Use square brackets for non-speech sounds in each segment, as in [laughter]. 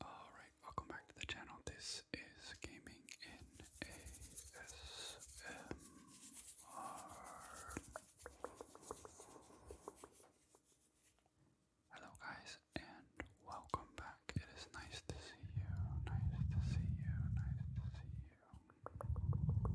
Alright, welcome back to the channel. This is Gaming in ASMR. Hello, guys, and welcome back. It is nice to see you. Nice to see you. Nice to see you.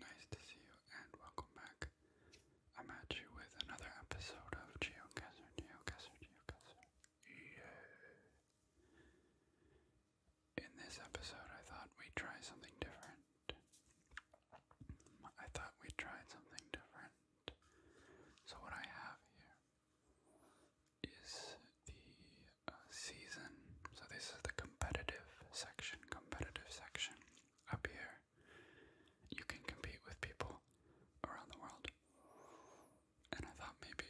Nice to see you and welcome back. I'm at you with another episode of Geocaser, Geocaser, Geocaser. Yeah. In this episode, I thought we'd try something different. I thought we tried something different. So, what I have here is the uh, season. So this is the competitive section, competitive section up here. You can compete with people around the world. And I thought maybe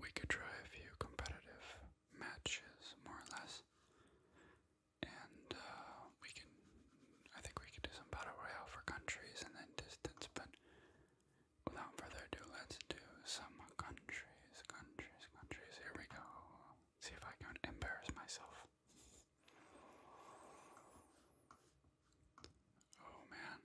we could try a few competitive matches, more or less. And uh, we can I think we could do some battle royale for countries and then distance, but without further ado, let's do some countries, countries, countries. Here we go. See if I can embarrass myself. Oh man.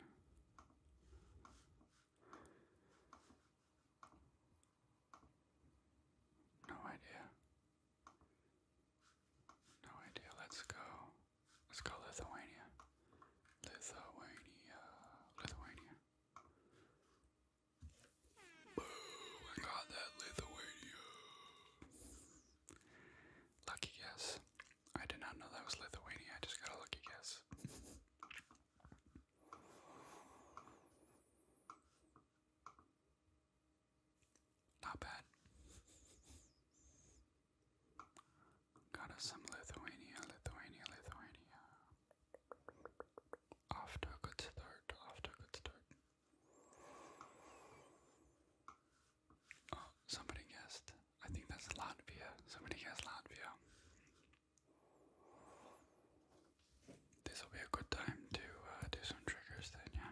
No idea. No idea. Let's go. Let's go Lithuania. Lithuania. Lithuania. Boom! I got that Lithuania. Lucky guess. I did not know that was Lithuania. I just got a lucky guess. Not bad. Got us some Lithuania, Lithuania, Lithuania. Off a good start, off a good start. Oh, somebody guessed. I think that's Latvia. Somebody guessed Latvia. This will be a good time to uh, do some triggers then, yeah.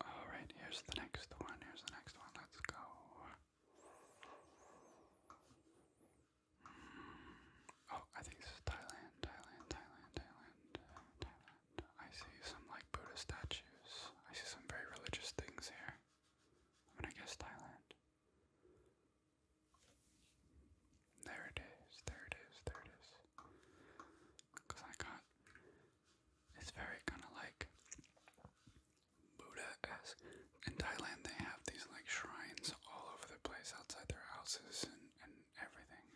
Alright, here's the next one. Here's the next one. Let's go. Mm. Oh, I think this Thailand, Thailand, Thailand, Thailand. I see some like Buddha statues. I see some very religious things here. I'm gonna guess Thailand. There it is, there it is, there it is because I got it's very kind of like Buddha esque. In Thailand, they have these like shrines all over the place outside their houses and, and everything.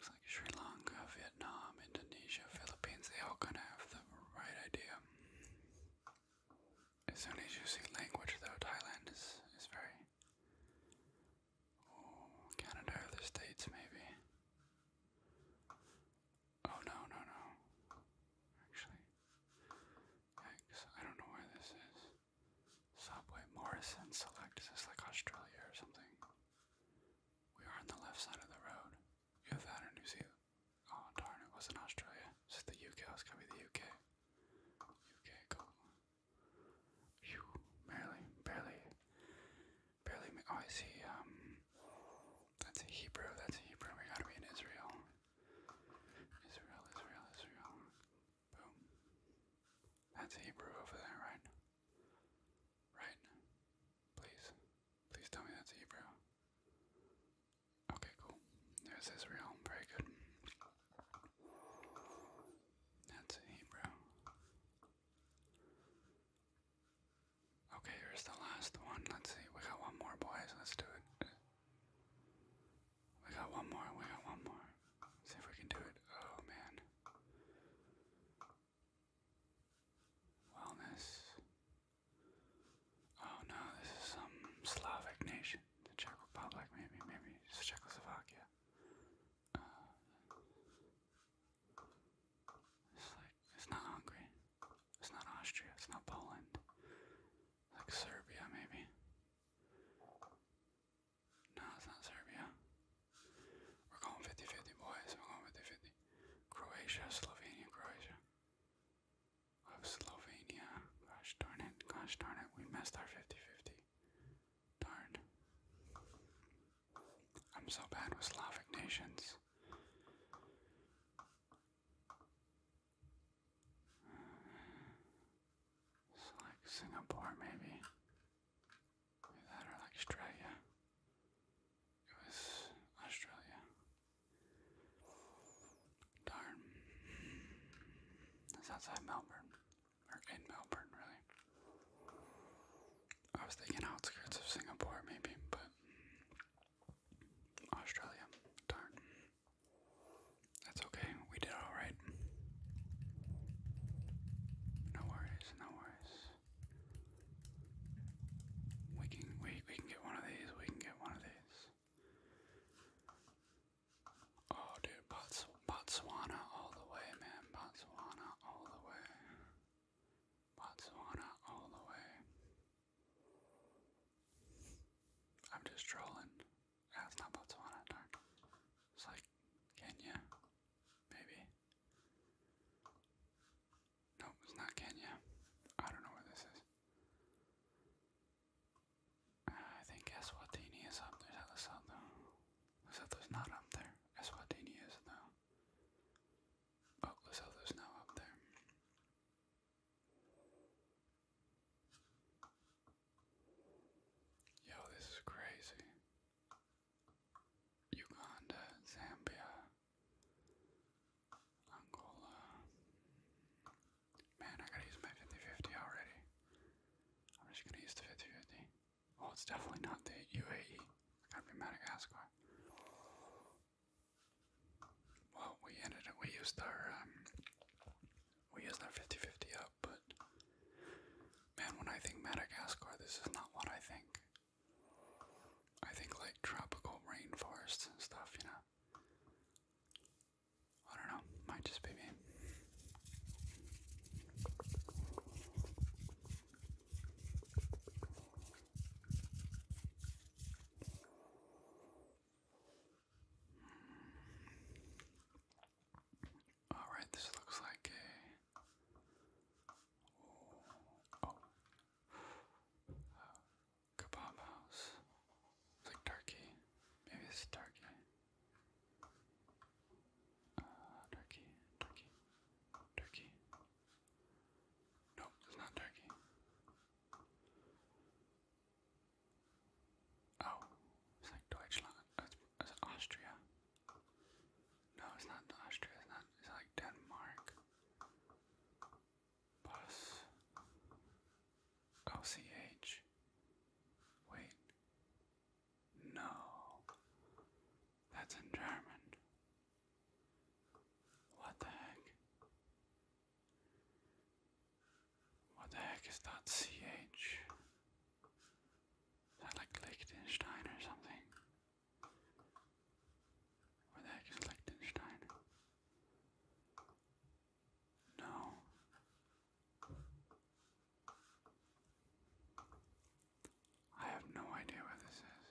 It's like Sri Lanka, Vietnam, Indonesia, Philippines, they all kind of have the right idea. As soon as you see language, though, Thailand is, is very Oh, Canada or the States, maybe. Oh, no, no, no. Actually, yikes, I don't know where this is. Subway Morrison Select. Is this like Australia or something? We are on the left side of the road. You have that or New Zealand. Oh, darn, it wasn't Australia. This the UK. Oh, it's gotta be the UK. UK, go. Phew, barely, barely, barely. Oh, I see. Um, that's a Hebrew. That's a Hebrew. We gotta be in Israel. Israel, Israel, Israel. Boom. That's Hebrew over there, right? Right? Please, please tell me that's Hebrew. Okay, cool. There's Israel. Very good. That's Hebrew. Okay, here's the last one. Let's see. We got one more, boys. Let's do it. We got one more. We got one more. see if we can do it. Oh, man. Wellness. Oh, no. This is some Slavic nation. The Czech Republic, maybe. Maybe it's Czechoslovakia it's like it's not Hungary. It's not Austria. It's not Poland. Like Serbia, maybe. No, it's not Serbia. We're going 50-50, boys. We're going 50-50. Croatia, Slovenia, Croatia. Of Slovenia. Gosh darn it. Gosh darn it. We missed our 50-50. Darn. I'm so bad with Slavic nations. It's like Singapore, Maybe that or like Australia. It was Australia. Darn. That's outside Melbourne or in Melbourne, really. I was thinking outskirts of Singapore, maybe, but Australia, darn. That's okay, we did alright. No worries, no worries. We can we we can get one of these, we can get one of these. Oh, dude, Botswana all the way, man. Botswana all the way. Botswana all the way. I'm just trolling. Yeah, it's not Botswana, darn. It's like Kenya, maybe. Nope, it's not Kenya. I don't know where this is. I think Eswatini is up there. Lesotho. there's not up there. Eswatini is oh, though. But Lesotho's now up there. Yo, this is crazy. Uganda, Zambia, Angola. Man, I gotta use my 50 already. I'm just gonna use the 5050. Oh, it's definitely not the UAE. It's Madagascar. Well, we ended We used our um, we used our 50 up, but man, when I think Madagascar, this is not what I think. I think like tropical rainforests and stuff, you know. I don't know, might just be me. All right, this looks like a. Oh, uh, It's like turkey. Maybe it's turkey turkey, turkey, turkey. Nope, it's not turkey. Oh, it's like Deutschland. It's, Austria. No, it's not Austria. It's not. It's like Denmark. Bus. LCH. Wait. No. That's in German. What the heck? What the heck is that CH? Is that like Liechtenstein or something? Where the heck is Liechtenstein? No. I have no idea what this is.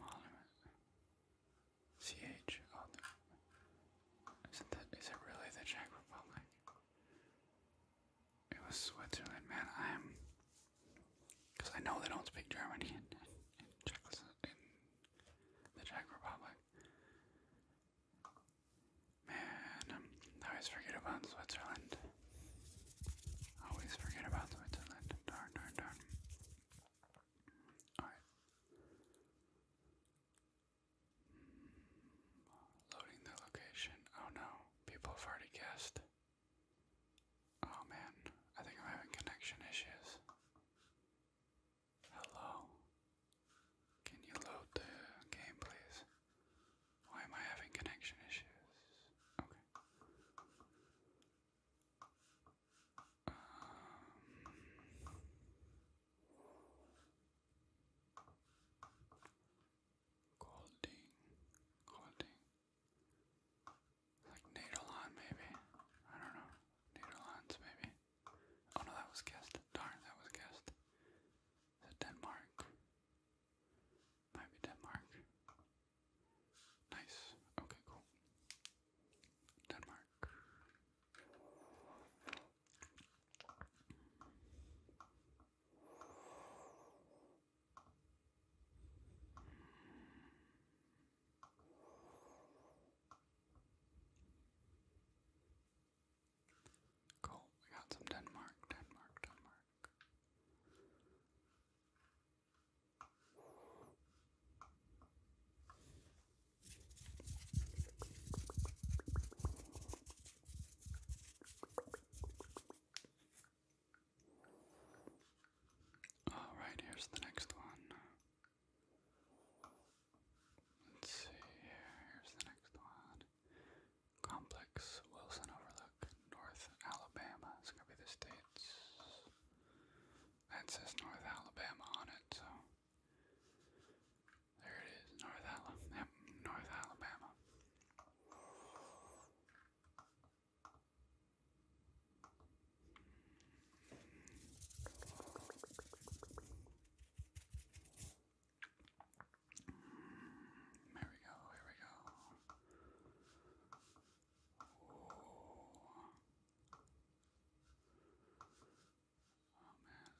Monument. CH. Oh, isn't that, is it really the Czech Republic? It was Switzerland, man. I'm. Because I know they don't speak German in, in, Man, um, I always forget about Switzerland. Always forget about Switzerland. Darn, darn, darn. Alright. Loading the location. Oh no, people have already guessed. Oh man, I think I'm having connection issues. Hello. Can you load the game, please? Why am I having connection issues? Okay. Um, Golding, Golding, like Natalon maybe. I don't know. Natalons maybe. Oh no, that was guessed. Darn, that was guessed. Denmark? Might Denmark. Nice. Okay, cool. Denmark. Cool, we got some Denmark, Denmark, Denmark. All right, here's the next one. Let's see Here's the next one. Complex Wilson Overlook, North Alabama. It's gonna be the states. That says North Alabama on it, so there it is, North Alabama. North Alabama. There we go, here we go. Oh. man.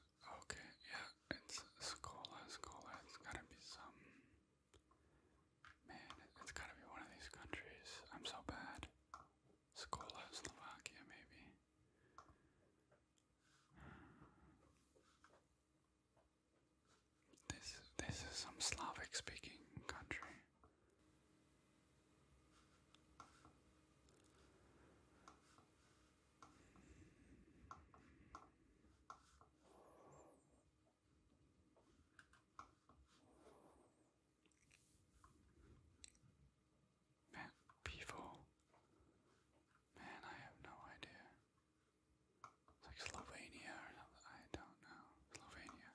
Okay, yeah, it's Scola, Scola. It's gotta be some. Man, it's gotta be one of these countries. I'm so bad. Scola, Slovakia, maybe. This this is some Slavic speaking country. Man, people. Man, I have no idea. It's like Slovenia I don't know. Slovenia.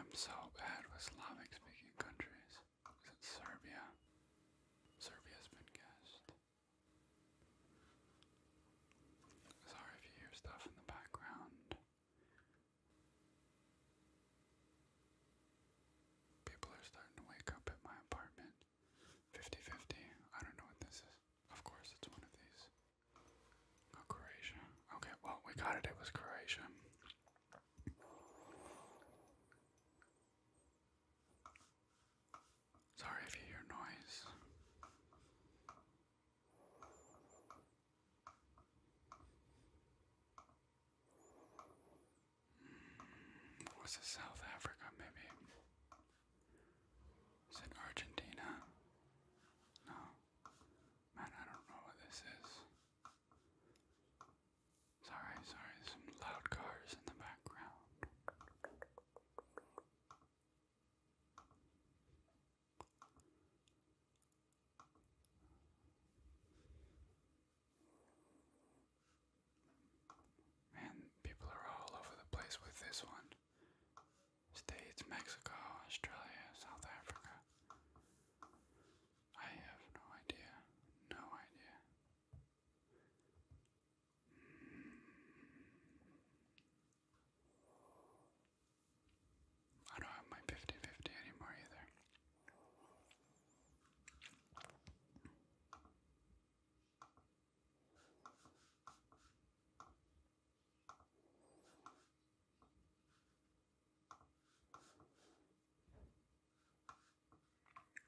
I'm so bad with Slavic speaking countries. Is it Serbia? Serbia's been guessed. Sorry if you hear stuff in the background. People are starting to wake up at my apartment. 50 50. I don't know what this is. Of course, it's one of these. Oh, Croatia. Okay, well, we got it. It was Croatia. Sorry if you hear noise. Was it South Africa, maybe? Is it Argentina? No. Man, I don't know what this is. Sorry, sorry, some loud cars in the background. Man, people are all over the place with this one. States, Mexico, Australia, South Africa. I have no idea. No idea. I don't have my 50 anymore either.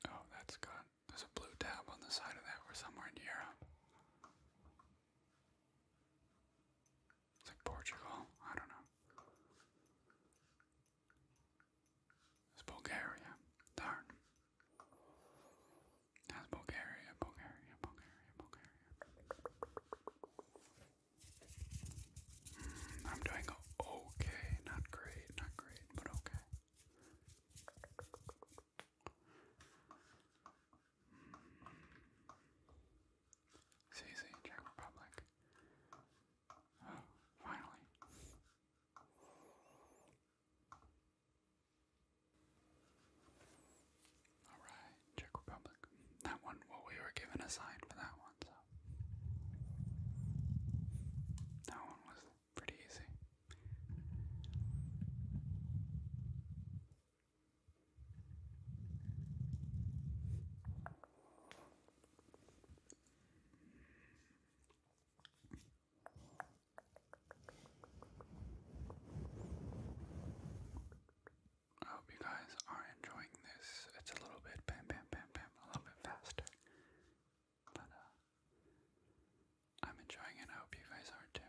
Oh, that's good. There's a blue dab on the side of that. We're somewhere in Europe. It's like Portugal. I don't know. Bulgaria. Darn. That's Bulgaria, Bulgaria, Bulgaria, Bulgaria. Mm, I'm doing okay. Not great, not great, but okay. Mm. Czech Republic finally. Alright, Czech Republic. That one, well, we were given a sign for that one, so. That one was pretty easy. I hope you guys are enjoying this. It's a little bit bam, bam, bam, bam, a little bit faster. But, uh, I'm enjoying it. I hope you guys are too.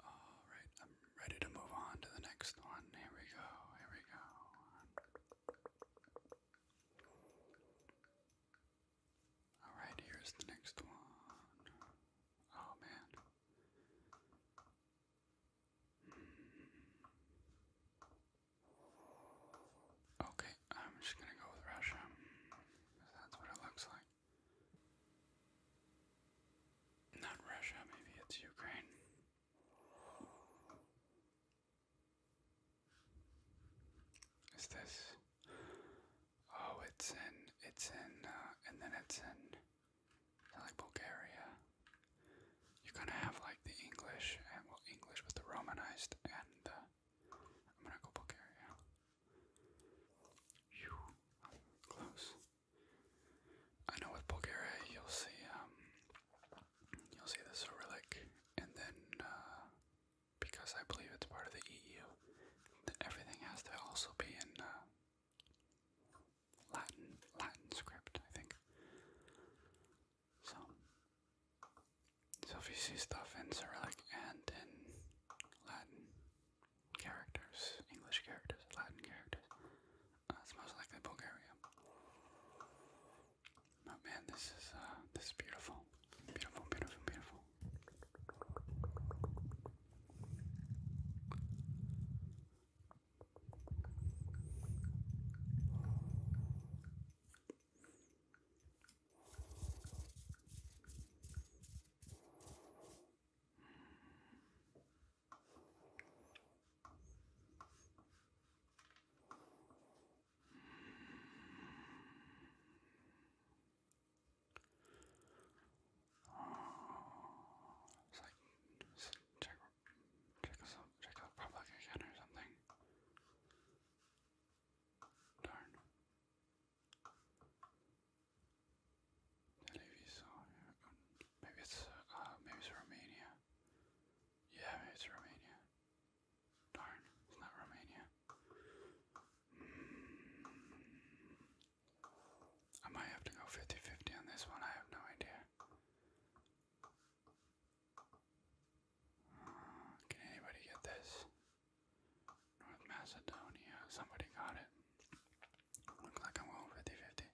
All right, I'm ready to move on to the next one. Here we go. Here we go. All right, here's the next one. Oh man. Hmm. Okay, I'm just gonna go with Russia. Cause that's what it looks like. Not Russia, maybe it's Ukraine. Is this? Oh, it's in, it's in, uh, and then it's in, like Bulgaria. You're going have like the English, and well, English with the Romanized, and uh, I'm gonna go Bulgaria. You close. I know with Bulgaria you'll see um, you'll see the Cyrillic, and then uh, because I believe it's part of the EU, then everything has to also be in uh, Latin Latin script, I think. So, so if you see stuff in Cyrillic and in Latin, characters, English characters, Latin characters. Uh, it's most likely Bulgaria. Oh man, this is uh, this is beautiful, beautiful, beautiful, beautiful. It's like Czech, Czech Republic again or something. Darn. Uh, maybe it's uh, maybe it's Romania. Yeah, it's Romania. Darn, it's not Romania. I might have to go 50 on this one. I have no idea. Uh, can anybody get this? North Macedonia. Somebody got it. Look like I'm going 50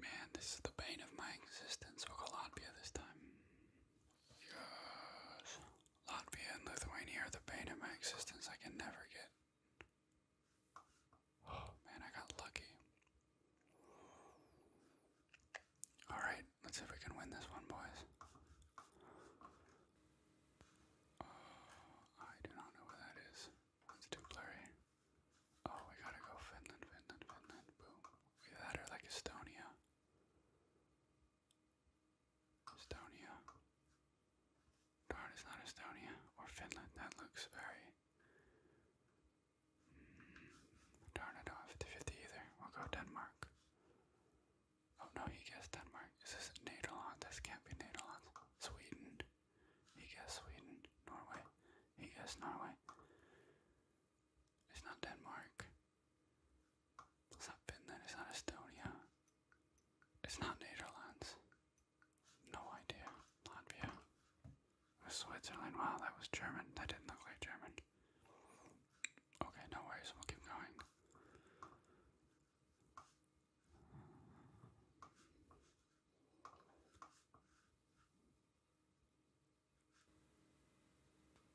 Man, this is the bane of my existence. We'll go Latvia this time. Yes. Latvia and Lithuania are the bane of my existence. I can never get. Oh [gasps] man, I got lucky. Alright, let's see if we can win this one, boys. Oh, I do not know what that is. It's too blurry. Oh, we gotta go Finland, Finland, Finland. Boom. Either that or like Estonia. Estonia. Darn, it's not Estonia or Finland. That looks very. Mm, darn, I don't 50 either. We'll go Denmark. Oh no, he guessed Denmark. This Is this Netherlands? This can't be Netherlands. Sweden. He guessed Sweden. Norway. He guessed Norway. It's not Denmark. It's not Finland. It's not Estonia. It's not Netherlands. No idea. Latvia. Switzerland. Wow, that was German. That didn't look like German. Okay, no worries, we'll keep going.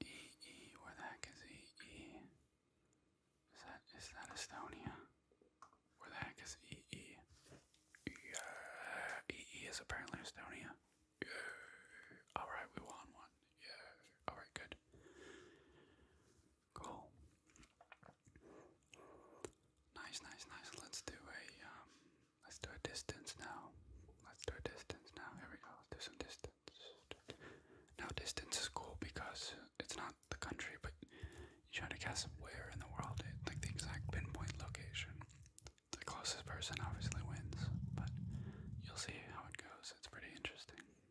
EE, where the heck is EE? Is that is that Estonia? Where the heck is EE? Yeah, EE is apparently Estonia. Yeah. Alright, we won one. Yeah. Alright, good. Cool. Nice, nice, nice. Let's do a um let's do a distance now. Let's do a distance now. Here we go. do some distance. Now distance is cool because it's not the country, but you try to guess where in the world it like the exact pinpoint location. The closest person obviously wins, but you'll see how it goes. It's pretty interesting. Okay.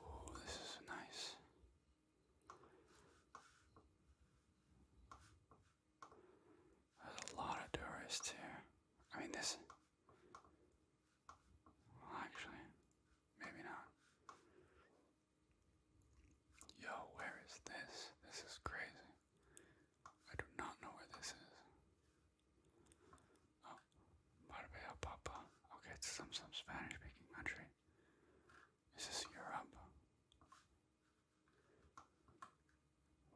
Oh, this is nice. There's a lot of tourists here. I mean, this. Well, actually, maybe not. Yo, where is this? This is crazy. I do not know where this is. Oh, Marbella Papa. Okay, it's some some Spanish speaking country. Is this Europe?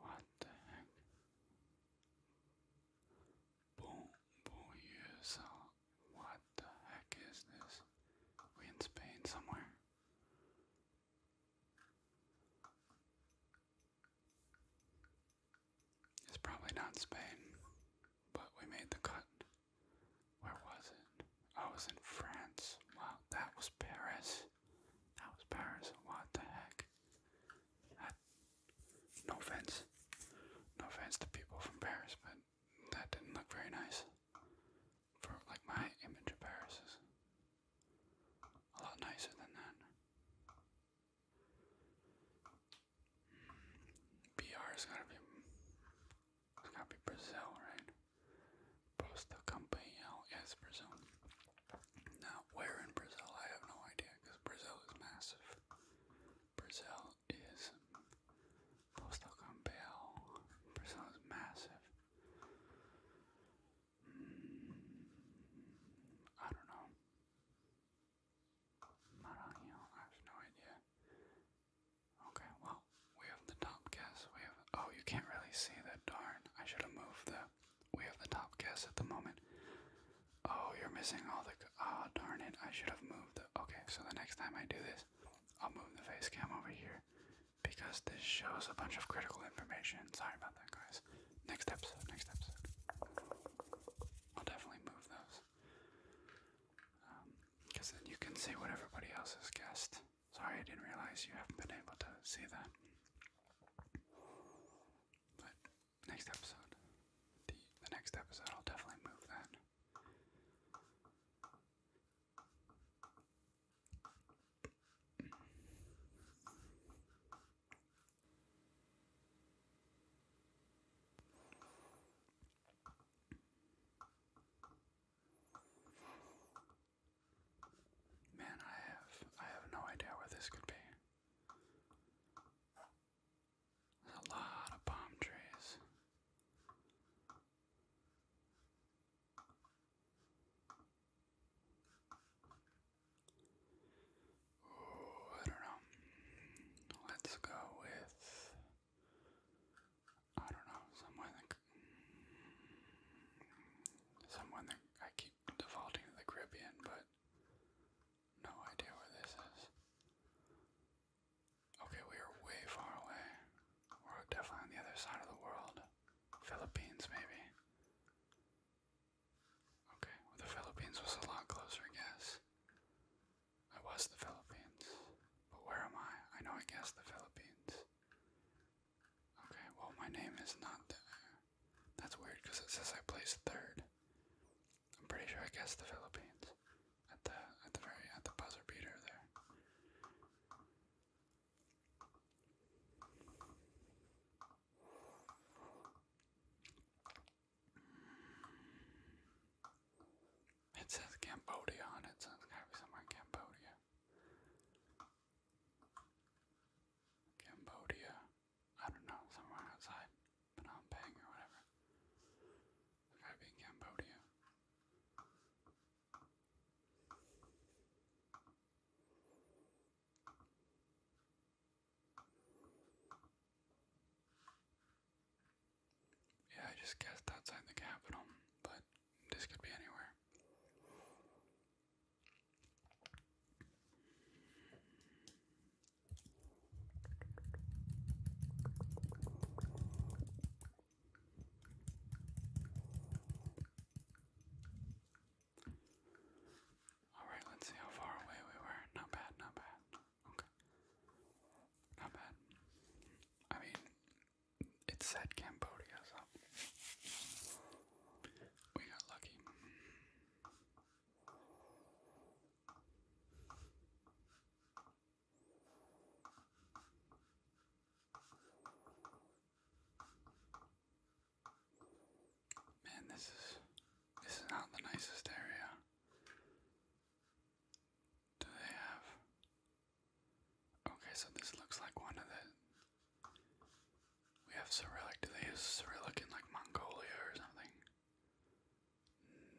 What the heck? Bon, bon, yes. Uh, what the heck is this? We in Spain somewhere? It's probably not Spain, but we made the cut. Where was it? Oh, I was in France. Wow, that was Paris. That was Paris. What the heck? no offense. No offense to people from Paris, but that didn't look very nice for like my image of Paris is a lot nicer than that. BR's gotta be gotta be Brazil, right? Posta Campanhão is Brazil. Now where in Brazil I have no idea because Brazil is massive. Brazil is full stock on Bell. Persona is massive. Mm, I don't know. Maranhão, I have no idea. Okay, well, we have the top guess. We have oh, you can't really see that. Darn, I should have moved the. We have the top guess at the moment. Oh, you're missing all the. Ah, oh, darn it! I should have moved the. Okay, so the next time I do this. I'll move the face cam over here because this shows a bunch of critical information. Sorry about that, guys. Next episode, next episode. I'll definitely move those because um, then you can see what everybody else has guessed. Sorry, I didn't realize you haven't been able to see that. But next episode, the next episode, I'll definitely move that. Man, I have I have no idea where this could be. a lot of palm trees. Oh, I don't know. Let's go with I don't know someone that someone that I keep defaulting to the Caribbean, but no idea where this is. Okay, we are way far away. We're definitely on the other side of the world. Philippines, maybe. Okay, well, the Philippines was a lot closer, I guess. I was the Philippines. But where am I? I know I guessed the Philippines. Okay, well, my name is not there. That's weird because it says I placed third. I'm pretty sure I guessed the Philippines at the at the very at the buzzer beater there. It says Cambodia on it, so somewhere Cambodia. Cambodia, I don't know, somewhere outside Phnom Penh or whatever. We gotta Cambodia. Yeah, I just guessed outside the capital, but this could be anywhere. Alright, let's see how far away we were. Not bad, not bad. Okay. Not bad. I mean, it said Cambodia, so. We got lucky. Man, this is this is not the nicest area. Do they have? Okay, so this looks like one of the. We have Cyrillic. Do they use Cyrillic in like Mongolia or something?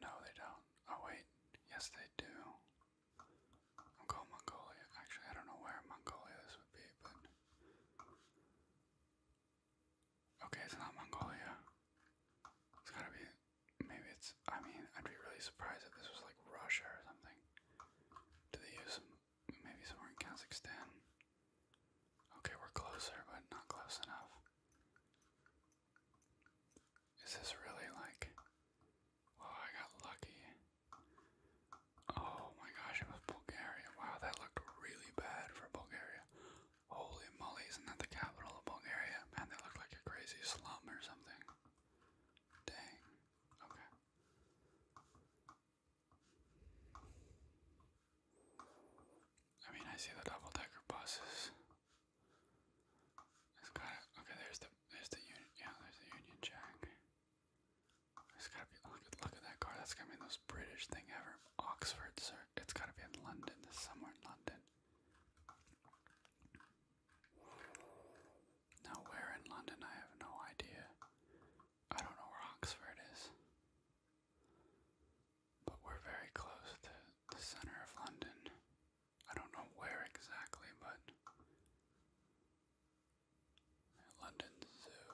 No, they don't. Oh, wait. Yes, they do. I'll go Mongolia. Actually, I don't know where Mongolia this would be, but. Okay, it's not Mongolia. It's gotta be. Maybe it's. I mean, I'd be really surprised if this was like Russia or something. Do they use Maybe somewhere in Kazakhstan? Okay, we're closer, but not close enough. Is this really like. Oh, I got lucky. Oh my gosh, it was Bulgaria. Wow, that looked really bad for Bulgaria. Holy moly, isn't that the capital of Bulgaria? Man, they looked like a crazy slum or something. Dang. Okay. I mean, I see the double decker buses. It's got okay, there's the, there's the union, yeah, there's the Union Jack. There's gotta be, look at, that car, that's gotta be the most British thing ever. Oxford, sir, it's gotta be in London, this somewhere in London. Now where in London, I have no idea. I don't know where Oxford is. But we're very close to the center of London. I don't know where exactly, but London Zoo.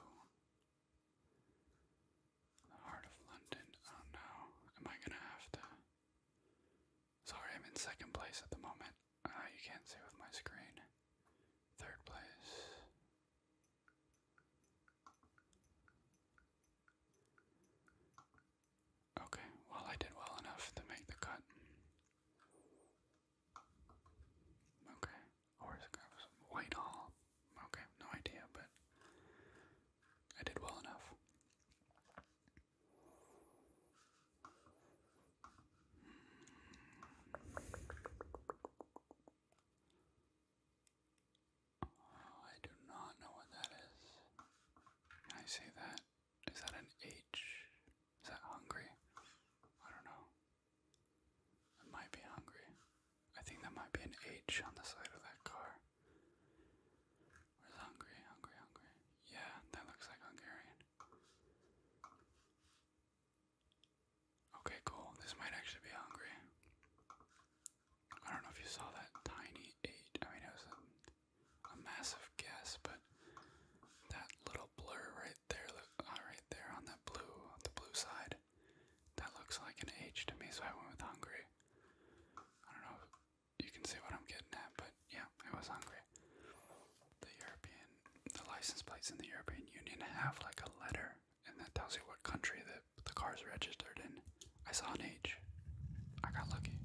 The heart of London. Oh no. Am I gonna have to Sorry, I'm in second place at the moment. Uh, you can't see with my screen. Third place. Okay, well, I did well enough to make the cut. Okay, or is it Whitehall? Okay, no idea, but I did well enough. Hmm. Oh, I do not know what that is. I say that? Is that an H? Is that hungry? I don't know. It might be hungry. I think that might be an H on the side of that car. Where's hungry? Hungry, hungry. Yeah, that looks like Hungarian. Okay, cool. This might actually be hungry. I don't know if you saw that tiny eight. I mean, it was a, massive guess, but that little blur right there, uh, right there on that blue, the blue side, that looks like an H to me. So I went with hungry. I don't know if you can see what I'm getting at, but yeah, it was hungry. The European, the license plates in the European Union have like a letter, and that tells you what country the the is registered in. I saw an H. I got lucky.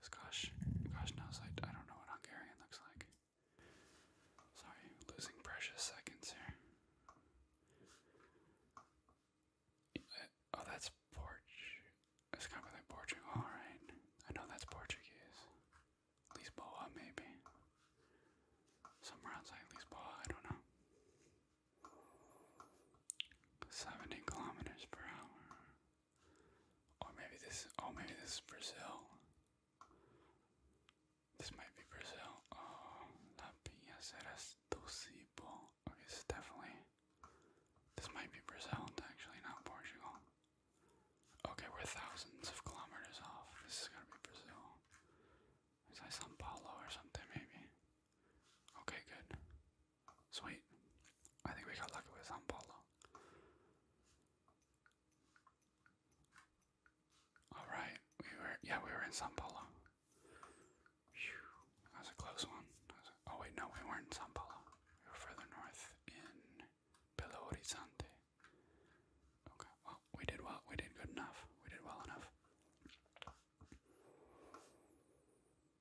Cause gosh, gosh knows I, I don't know what Hungarian looks like. Sorry, losing precious seconds here. Oh, that's Porch. It's kind of like Portugal, all right. I know that's Portuguese. Lisboa, maybe. Somewhere outside Lisboa, I don't know. 70 kilometers per hour. Or maybe this, oh, maybe this Brazil. This might be Brazil. Oh, La Piaceras Docibo. Okay, this definitely, this might be Brazil, actually, not Portugal. Okay, we're thousands of kilometers off. This is gonna be Brazil. Is that Sao Paulo or something, maybe? Okay, good. Sweet. I think we got lucky with San Paulo. Alright, we were yeah, we were in San That was a close one. oh wait, no, we weren't in San We were further north in Belo Horizonte. Okay, well, we did well. We did good enough. We did well enough.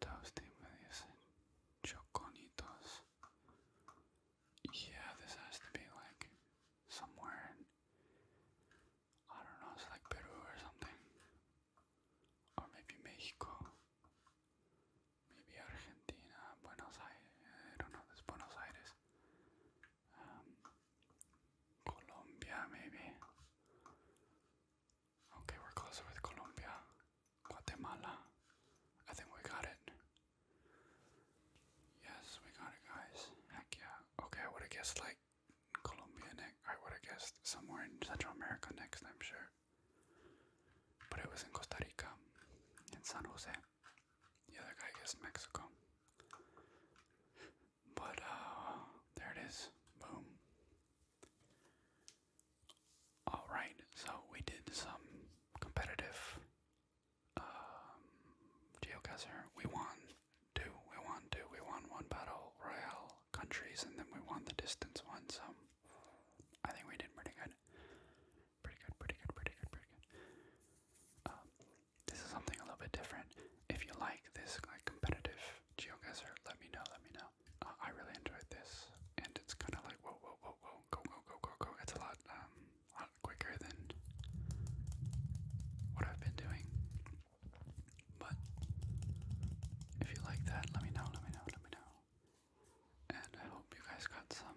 toasty medias and choconitos. Yeah, this has to be like somewhere in I don't know, it's like Peru or something. Or maybe Mexico. Maybe Argentina, Buenos Aires. Buenos Aires. Um, Colombia, maybe. Okay, we're closer with Colombia. Guatemala. I think we got it. Yes, we got it, guys. Heck yeah. Okay, I would have guessed like Colombia next. I would have guessed somewhere in Central America next, I'm sure. But it was in Costa Rica, in San Jose. The other guy guessed Mexico. But, uh, there it is. Boom. Alright, so we did some competitive um, geocacher. We won two, we won two, we won one battle royale countries, and then we won the distance one, so I think we did pretty good. Pretty good, pretty good, pretty good, pretty good. Um, this is something a little bit different. If you like this like competitive geoguesser, let me know, let me know uh, I really enjoyed this, and it's kind of like whoa, whoa, whoa, whoa, go, go, go, go, go. It's a lot, um, a lot quicker than what I've been doing. But if you like that, let me know, let me know, let me know. And I hope you guys got some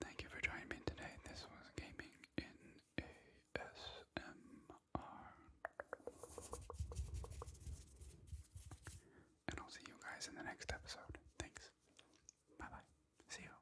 Thank you for joining me today. This was Gaming in ASMR. And I'll see you guys in the next episode. Thanks. Bye bye. See you.